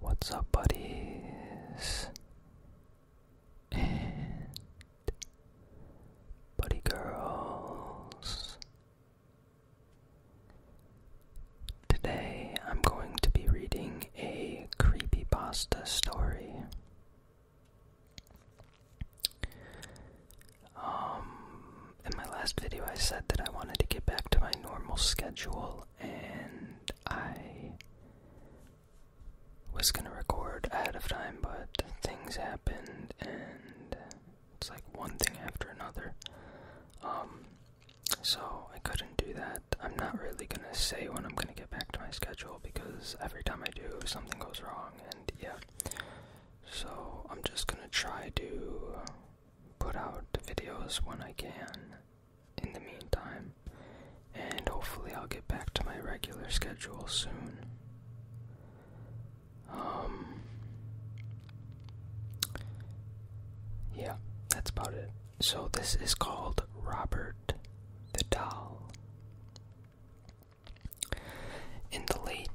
What's up, buddies? And buddy girls. Today I'm going to be reading a creepy pasta story. Um, in my last video, I said that I wanted to get back to my normal schedule, and I was gonna record ahead of time, but things happened, and it's like one thing after another. Um, so I couldn't do that. I'm not really gonna say when I'm gonna get back to my schedule because every time I do, something goes wrong, and yeah. So I'm just gonna try to put out videos when I can in the meantime, and hopefully I'll get back to my regular schedule soon. Um, yeah, that's about it. So, this is called Robert the Doll. In the late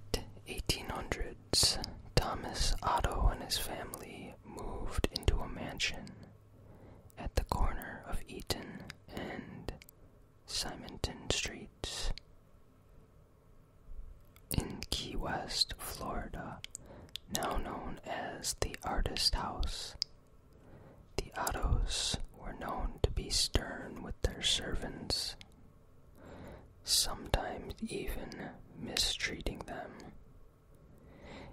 1800s, Thomas Otto and his family moved into a mansion at the corner of Eaton and Simonton Streets. In Key West, Florida, now known as the Artist House, the Ottos were known to be stern with their servants, sometimes even mistreating them.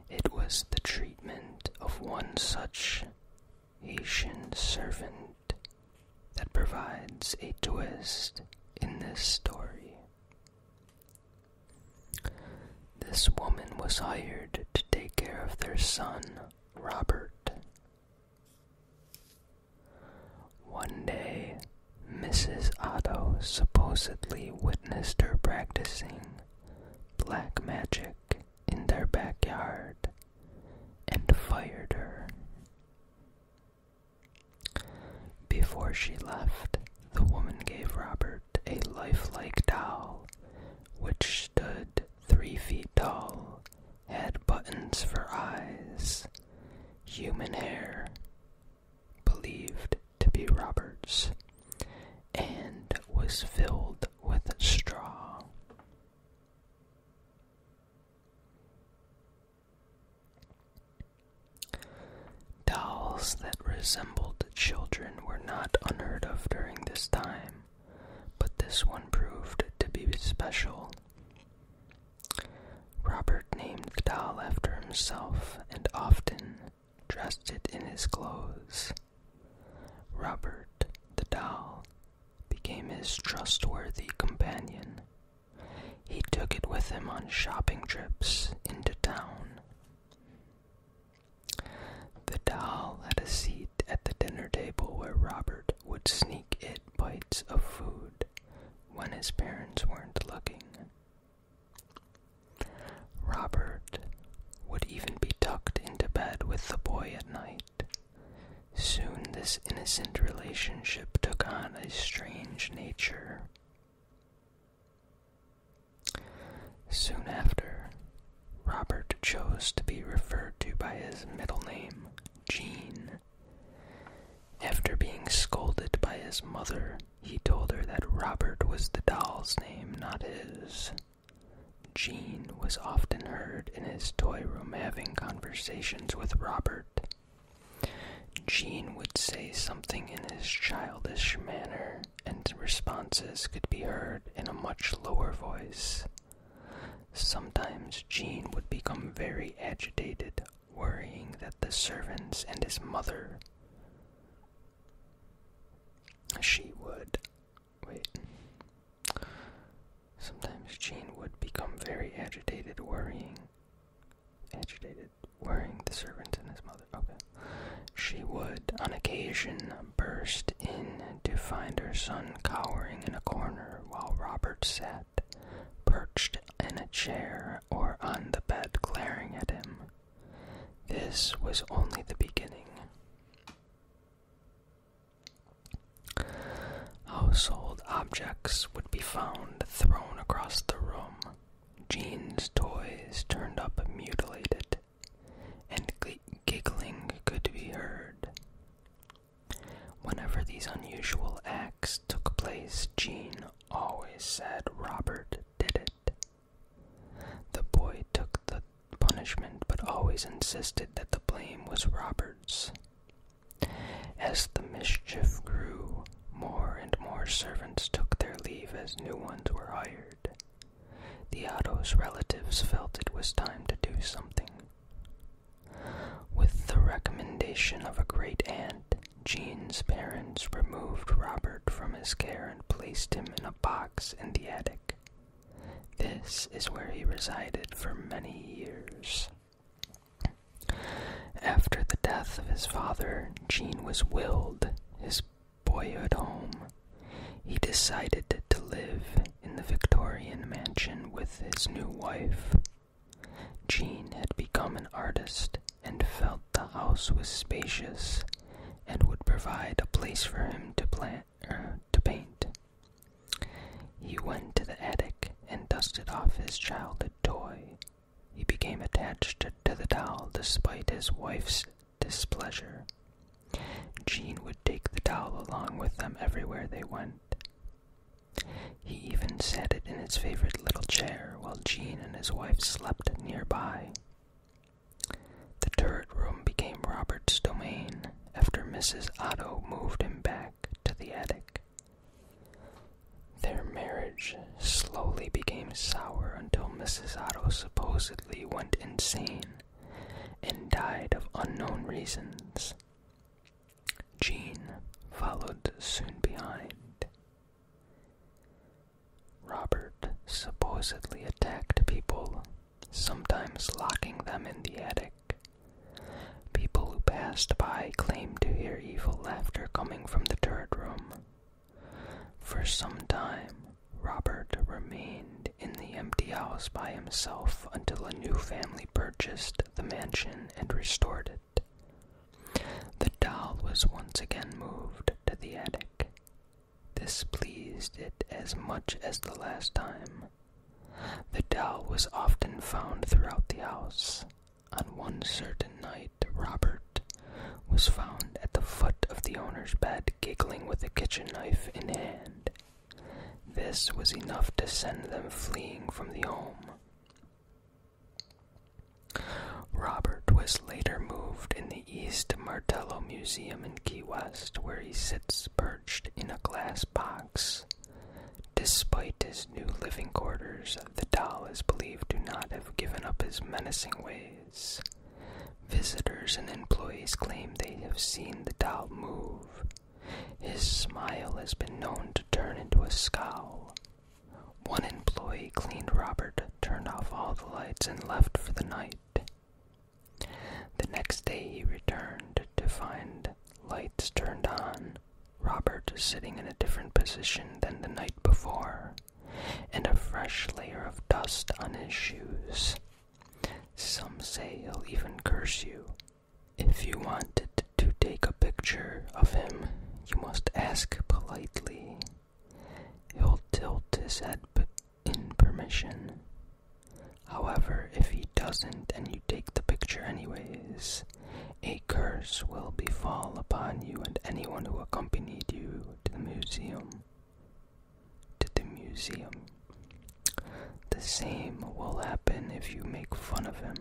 It was the treatment of one such Haitian servant that provides a twist in this story. This woman was hired to take care of their son, Robert. One day, Mrs. Otto supposedly witnessed practicing black magic in their backyard and fired her. Before she left, the woman gave Robert a lifelike doll which stood three feet tall, had buttons for eyes, human hair, believed to be Robert's and was filled with straw. Dolls that resembled children were not unheard of during this time, but this one proved to be special. Robert named the doll after himself and often dressed it in his clothes. Robert, the doll, became his trustworthy companion. He took it with him on shopping trips into town. The doll had a seat at the dinner table where Robert would sneak it bites of food when his parents weren't looking. Robert would even be tucked into bed with the boy at night. Soon this innocent relationship took on a strange nature. Soon after, Robert chose to be referred to by his middle name, Jean. After being scolded by his mother, he told her that Robert was the doll's name, not his. Jean was often heard in his toy room having conversations with Robert. Jean would say something in his childish manner, and responses could be heard in a much lower voice. Sometimes Jean would become very agitated, worrying that the servants and his mother she would. Wait. Sometimes Jean would become very agitated, worrying. Agitated, worrying the servant and his mother. Okay. She would, on occasion, burst in to find her son cowering in a corner while Robert sat, perched in a chair or on the bed, glaring at him. This was only the beginning. Household objects would be found thrown across the room. Jean's toys turned up mutilated, and giggling could be heard. Whenever these unusual acts took place, Jean always said Robert did it. The boy took the punishment but always insisted that the blame was Robert's. As the mischief grew, more and more servants took their leave as new ones were hired. The Theodo's relatives felt it was time to do something. With the recommendation of a great aunt, Jean's parents removed Robert from his care and placed him in a box in the attic. This is where he resided for many years. After the death of his father, Jean was willed his boyhood home. He decided to live in the Victorian mansion with his new wife. Jean had become an artist and felt the house was spacious and would provide a place for him to plant er, to paint. He went to the attic and dusted off his childhood toy. He became attached to the doll despite his wife's displeasure. Jean would take the doll along with them everywhere they went. He even sat it in his favorite little chair while Jean and his wife slept nearby. The turret room became Robert's domain after Mrs. Otto moved him back to the attic. Their marriage slowly became sour until Mrs. Otto supposedly went insane and died of unknown reasons. Jean followed soon behind. Robert supposedly attacked people, sometimes locking them in the attic. People who passed by claimed to hear evil laughter coming from the third room. For some time, Robert remained in the empty house by himself until a new family purchased the mansion and restored it. The doll was once again moved to the attic. This pleased it as much as the last time. The doll was often found throughout the house. On one certain night, Robert was found at the foot of the owner's bed, giggling with a kitchen knife in hand. This was enough to send them fleeing from the home. Robert was later moved in the East Martello Museum in Key West, where he sits perched in a glass box. Despite his new living quarters, the doll is believed to not have given up his menacing ways. Visitors and employees claim they have seen the doll move. His smile has been known to turn into a scowl, one employee cleaned Robert, turned off all the lights, and left for the night. The next day he returned to find lights turned on, Robert sitting in a different position than the night before, and a fresh layer of dust on his shoes. Some say he'll even curse you. If you want to take a picture of him, you must ask politely He'll tilt his head in permission. However, if he doesn't and you take the picture anyways, a curse will befall upon you and anyone who accompanied you to the museum. To the museum. The same will happen if you make fun of him.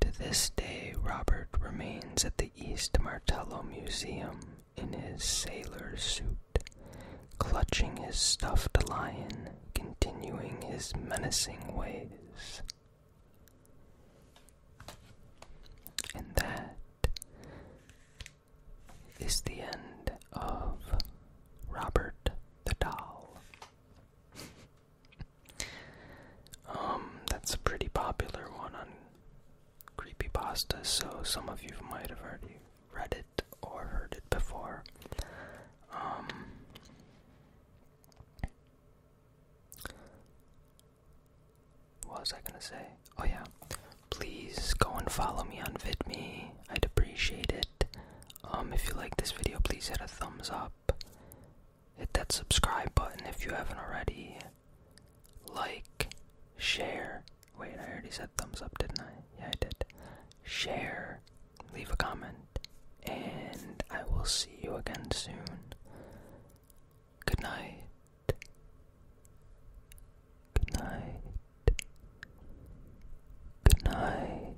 To this day, Robert remains at the East Martello Museum in his sailor suit, clutching his stuffed lion, continuing his menacing ways. And that is the end of Robert the Doll. Um, that's a pretty popular one on creepy pasta. so some of you might have already read it or heard it before. Um, what was I gonna say? Oh, yeah. Please go and follow me on VidMe. I'd appreciate it. Um, if you like this video, please hit a thumbs up hit that subscribe button if you haven't already, like, share. Wait, I already said thumbs up, didn't I? Yeah, I did. Share, leave a comment, and I will see you again soon. Good night. Good night. Good night.